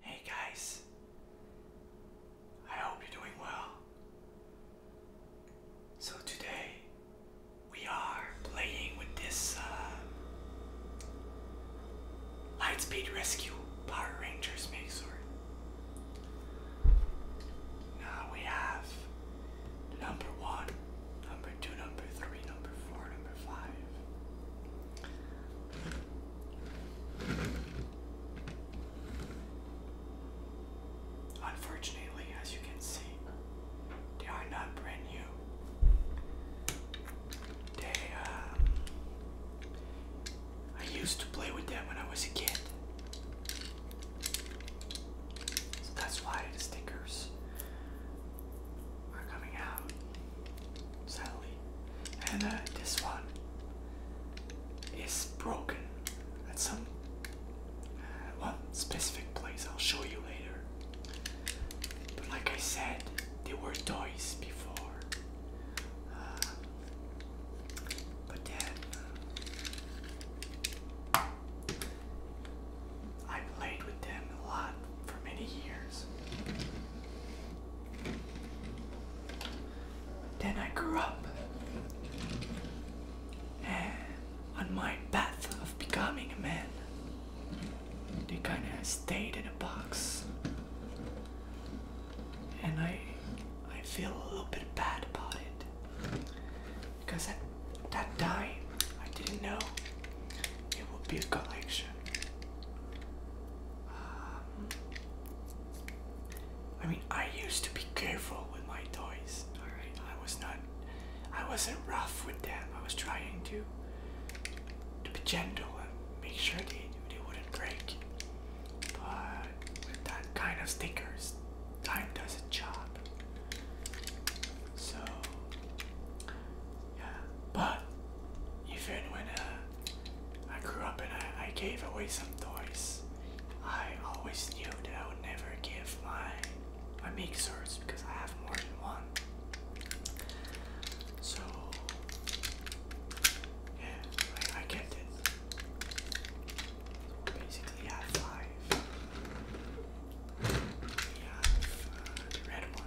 Hey guys, I hope you're doing well. So today we are playing with this uh, Lightspeed Rescue Power Rangers mixer. Now we have number one, number two, number three, number four, number five. Unfortunately, as you can see, they are not brand new. They, um, I used to play with them when I was a kid. So that's why the stickers are coming out sadly. And uh, this one is broken at some uh, one specific place. I'll show you later. But like I said, they were toys before. Uh, but then I played with them a lot for many years. Then I grew up, and eh, on my path of becoming a man, they kind of stayed in a box, and I, I feel a little bit bad about it, because at that time I didn't know it would be a collection. Um, I mean, I used to be careful with my toys. All right, I was not, I wasn't rough with them. I was trying to, to be gentle and make sure they they wouldn't break. But with that kind of stickers, time does a job. So yeah, but even when uh, I grew up and I, gave away some toys, I always knew that I would never give my my mixers because I have more than one. So yeah, I, I get it. So basically, we have five. We have uh, the red one.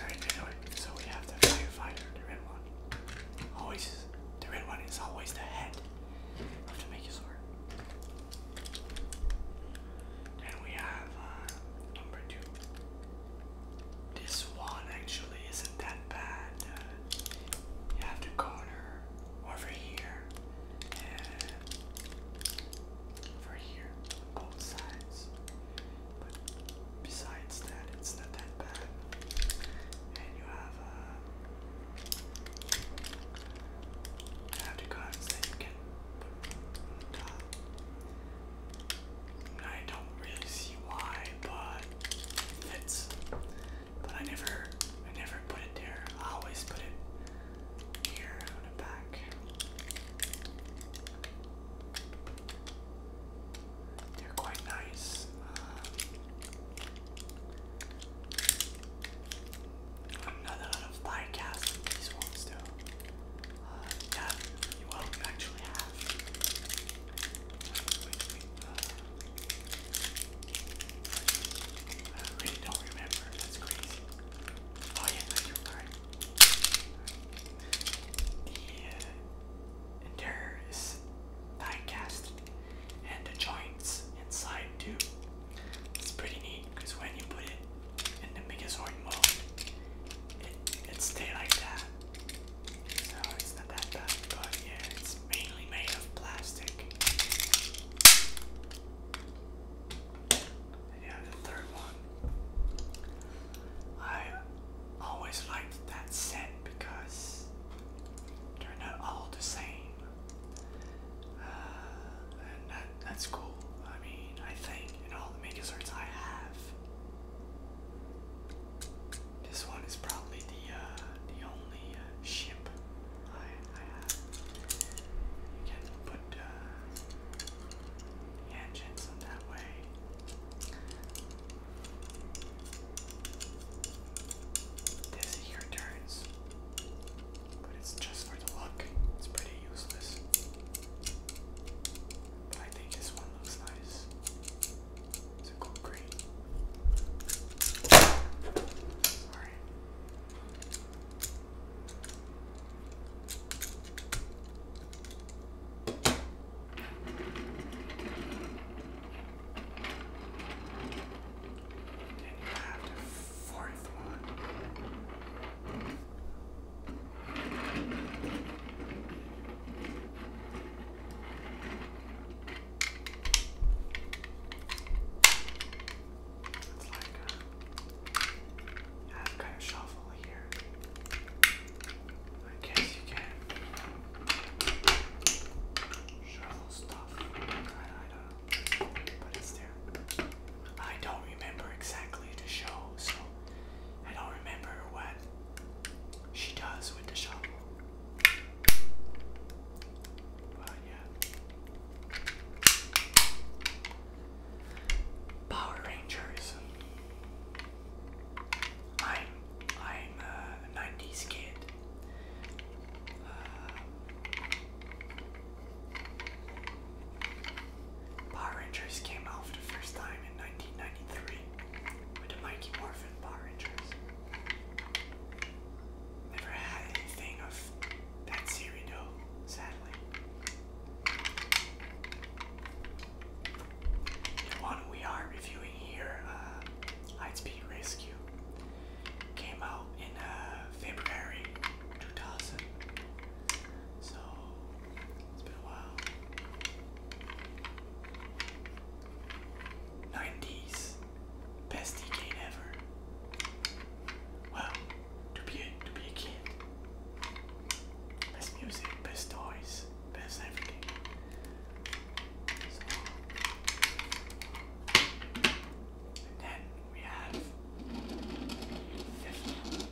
Alright, so we have the firefighter, the red one. Always, the red one is always the head of the Megazord. Then we have uh, number two. This one actually isn't that bad. Uh, you have the corner, over here, and over here both sides. besides that, it's not that bad. And you have uh, have the guns that you can put on top. I don't really see why, but it fits but I never, I never put it there. I always put it here on the back. They're quite nice. Um, lot of bycast these ones though. Uh, yeah, you actually have. Uh, I really don't remember. That's crazy. Oh yeah, that's your The interior is cast, and the joints inside too. It's pretty neat because when you put it in the Megazord mode, it it stays like that. So it's not that bad, but yeah, plastic. yeah, the third one. I always liked that set because they're not all the same. Uh, and that, that's cool. I mean, I think in all the mini I have, this one is probably the uh, the only uh, ship I, I have. You can put uh, the engines in that way. This here turns, but it's just for the look. It's pretty useless. But I think this one looks nice. Is it called green? Sorry. And you have the fourth one. It's like a, uh, I kind of shuffle here. I guess you can shuffle stuff. I don't know, but it's there. I don't remember exactly the show, so I don't remember what she does with the shovel. Power Rangers. I'm I'm a 90s kid. Uh, Power Rangers came out for the first time in 1993 with the Mighty Morphin Power Rangers. Never had anything of that cereal, sadly. The one we are reviewing here, uh, Rescue, came out in uh, February 2000. So, it's been a while. 90s. Best decade ever. Wow, to be a, to be a kid. Best music, best toys, best everything. and then we have fifth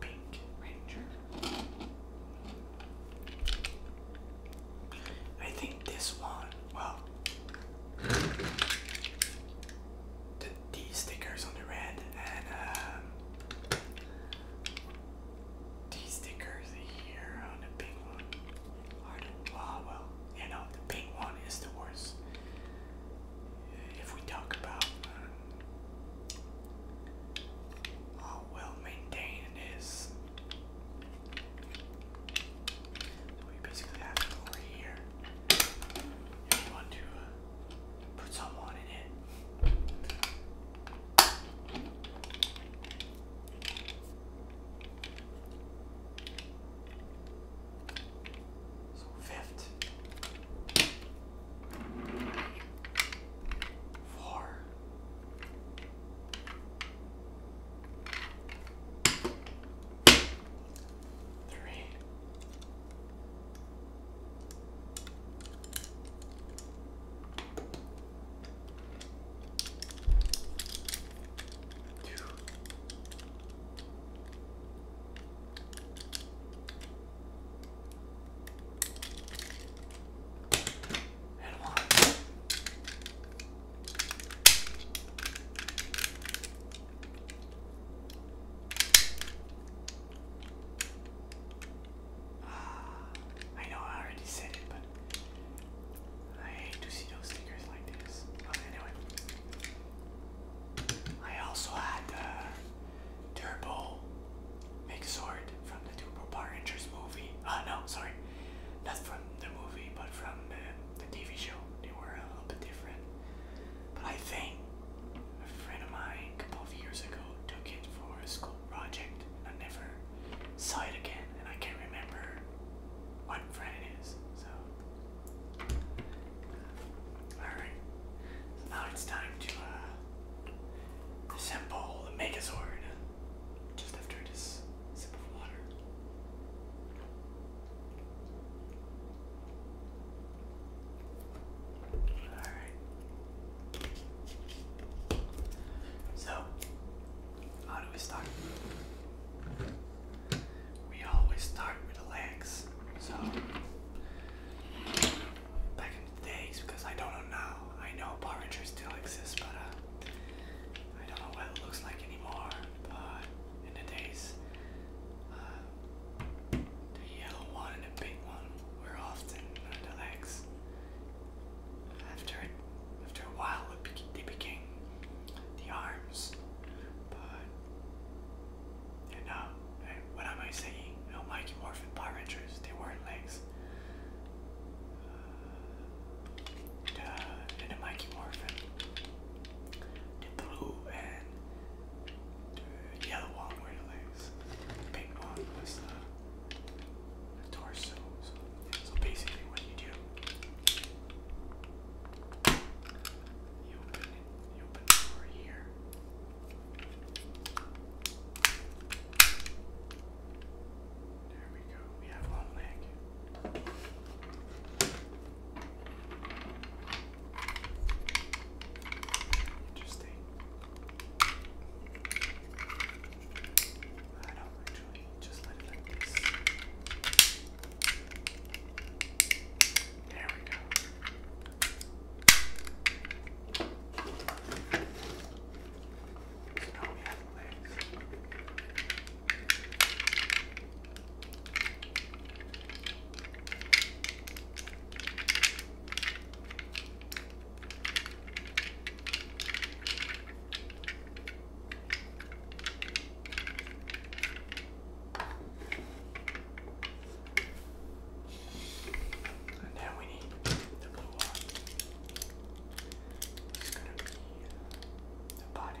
Pink Ranger. I think this one, well, the, these stickers on the red and um, these stickers here on the pink one are the, ah, well, you know, the pink one is the worst. If we talk about um, how well maintained it is. So we basically have over here. If you want to uh, put someone in it. So fifth, four, Three. Two. And one. Ah, I know I already said it, but I hate to see those stickers like this. But anyway, I also had the Turbo Mixord from the Turbo Power Rangers movie. oh, no, sorry, not from the movie, but from the the TV show. They were a little bit different. But I think a friend of mine a couple of years ago took it for a school project. and I never saw it again, and I can't remember what friend it is. So, alright. now it's time to uh, assemble the Megazord just after this Alright. So, how do we start? We always start with the legs. So, back in the days, because I don't know now, I know Power still exists, but uh, I don't know what it looks like anymore, but in the days, uh, the yellow one and the pink one were often the legs. After after a while, they became the arms, but you uh, know, what am I saying? You know, Morphin Power Rangers, they weren't legs. Uh, the, uh, and the Mikey Morphin, the blue and the yellow one were the legs, the pink one was the, the torso. So, so basically, what you do, you open it, you open the door here. There we go. We have one leg. Interesting. I don't actually just let it like this. There we go. So now we have legs. And now we need the blue one. It's gonna be the body.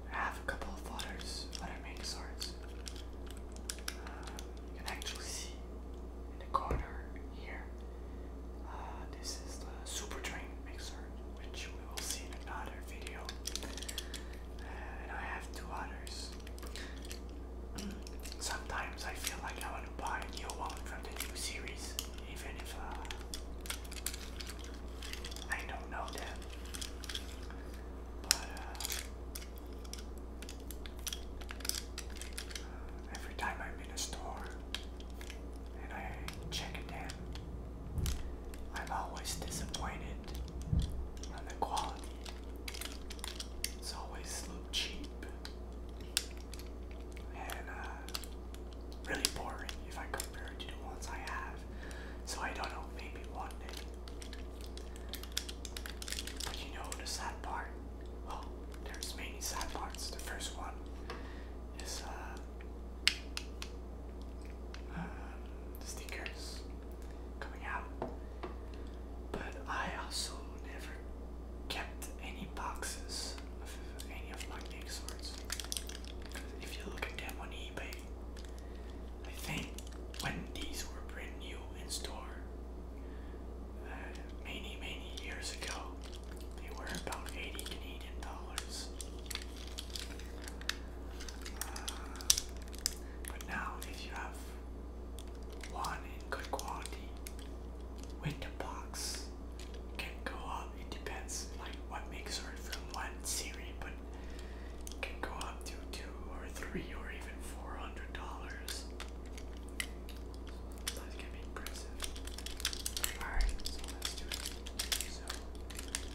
I have a couple of waters, but I made swords. Um, you can actually see in the corner here. Uh, this is the super train mixer, which we will see in another video. and I have two others. Sometimes I feel like I want to buy a new one from the new series, even if uh, I don't know them. But uh, every time I'm in a store and I check it I'm always disappointed on the quality. It's always a cheap and uh, really boring if I compare it to the ones I have. So I don't know, maybe one day but you know the sad part? Well, oh, there's many sad parts. The first one is uh, um, stickers coming out. But I also never kept any boxes of any of my big If you look at them on eBay, I think when these were brand new in store uh, many many years ago, they were about 80 Canadian dollars. Uh, but now, if you have one in good quality with the box, can go up. It depends, like what makes her from one series, but can go up to two or three or even four hundred dollars. That's gonna be impressive. Alright, let's do it. So it's pretty cool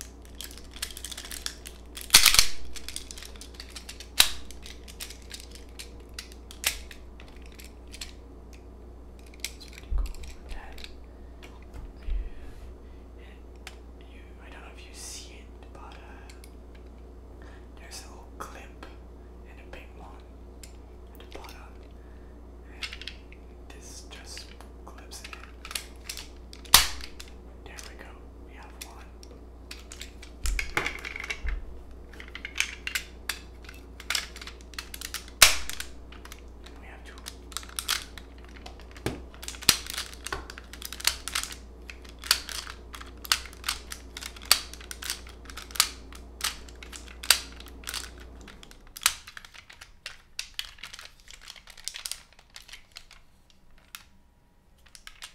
with I don't know if you see it, but uh, there's a little clip and a big one at the bottom, and this just clips in There we go. We have one. we have two.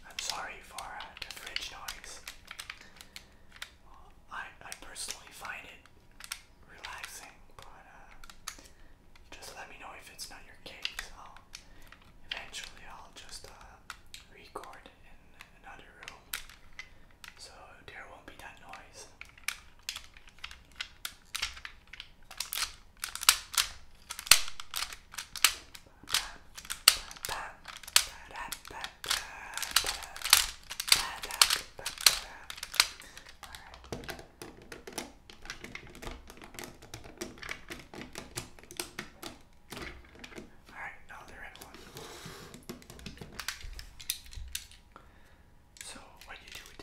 I'm sorry for uh, the fridge noise. I, I personally find it relaxing, but uh, just let me know if it's not your case eventually I'll just uh, record in another room so there won't be that noise. Alright, now they're one. So, what you do with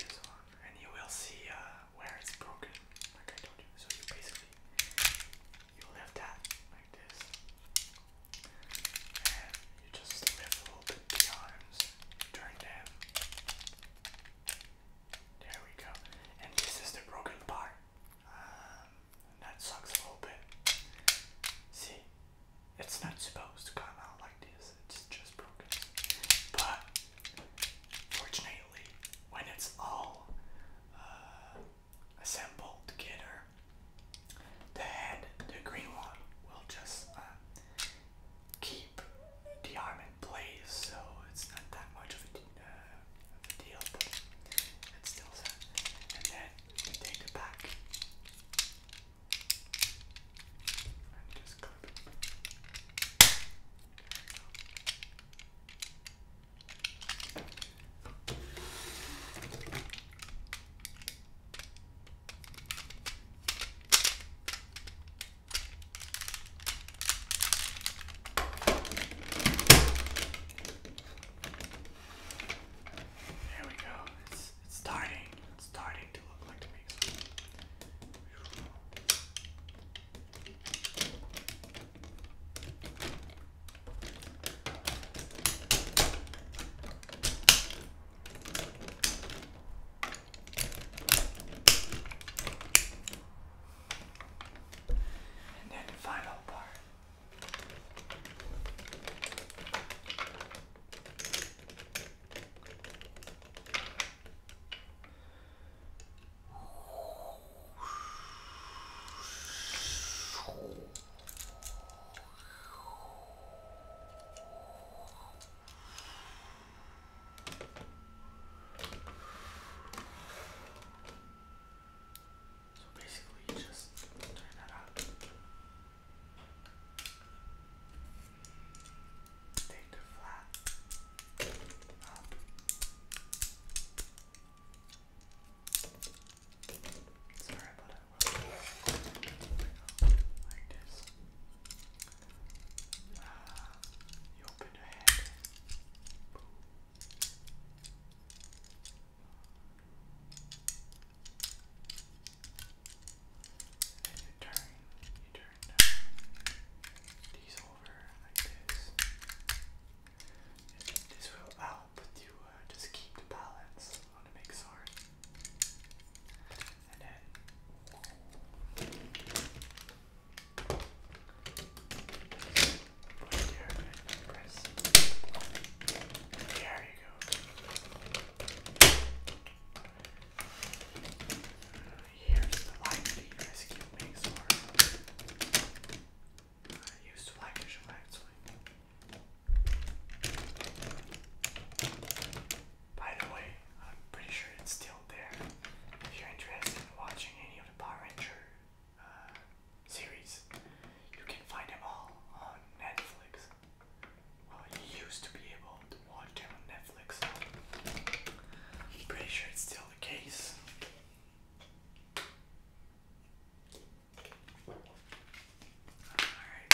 and you will see uh, where it's broken, like I told you. So, you basically you lift that like this, and you just lift a little bit the arms, turn them. There we go. And this is the broken part. Um, that sucks a little bit. See, it's not supposed to come out like this, it's just broken. But, fortunately, when it's all uh, assembled together, the head, the green one, will just uh, keep the arm in place, so it's not that much of a uh, the And then we take it back and just clip it. There we go. It's it's starting. It's starting to look like the pixel. And then the final part. So basically, you just turn that up. Take the flat up. Sorry about that. Like this. Uh, you open your head. Boom. And you turn, you turn down these over like this. And this will help to uh, just keep the balance on the mixer. And then there, you go. Here's the light the rescue I used to like the actually. By the way, I'm pretty sure it's still there. If you're interested in watching any of the Power Ranger uh, series. You can find them all on Netflix. Well, you used to be able to watch them on Netflix. I'm pretty sure it's still the case. Alright.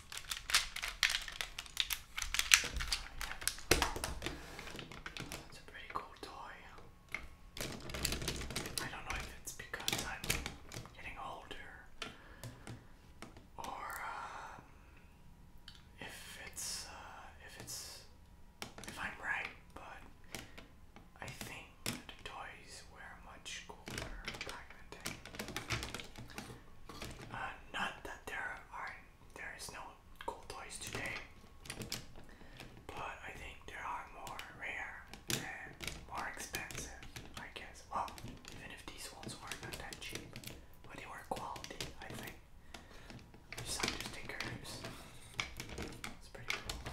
That's a pretty cool toy. I don't know if it's because I'm getting older or uh, if it's uh, if it's if I'm right, but I think toys were much cooler back in the day. Uh, not that there aren't there is no cool toys today, but I think there are more rare and more expensive, I guess. Well, even if these ones were not that cheap, but they were quality, I think. Just have stickers. It's pretty cool.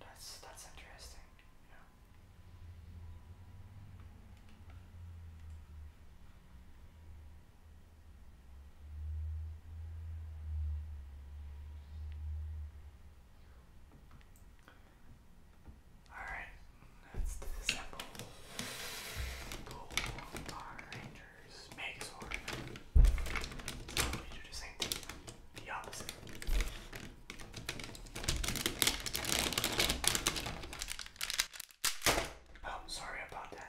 That's that's interesting. Yeah. Alright, let's disassemble Power Rangers Megazord. We do the same the opposite. Oh, sorry about that.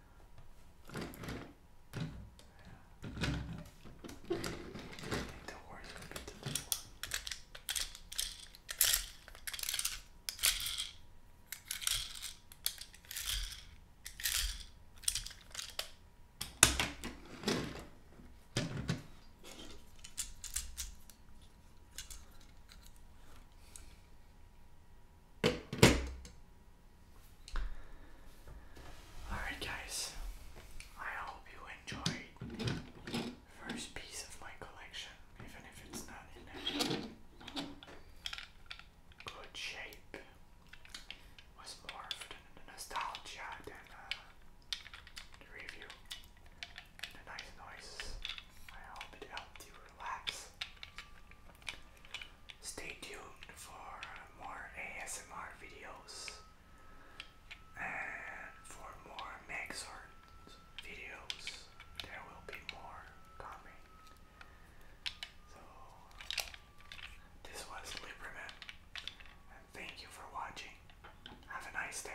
The worst would be to do. Alright, guys, I hope you enjoyed first piece of my collection, even if it's not in good shape. was more for nostalgia than uh, review. The nice noises. I hope it helped you relax. Stay tuned for more ASMR videos and for more Megxart videos. There will be more coming. So, this was Liberman, and thank you for watching. Have a nice day.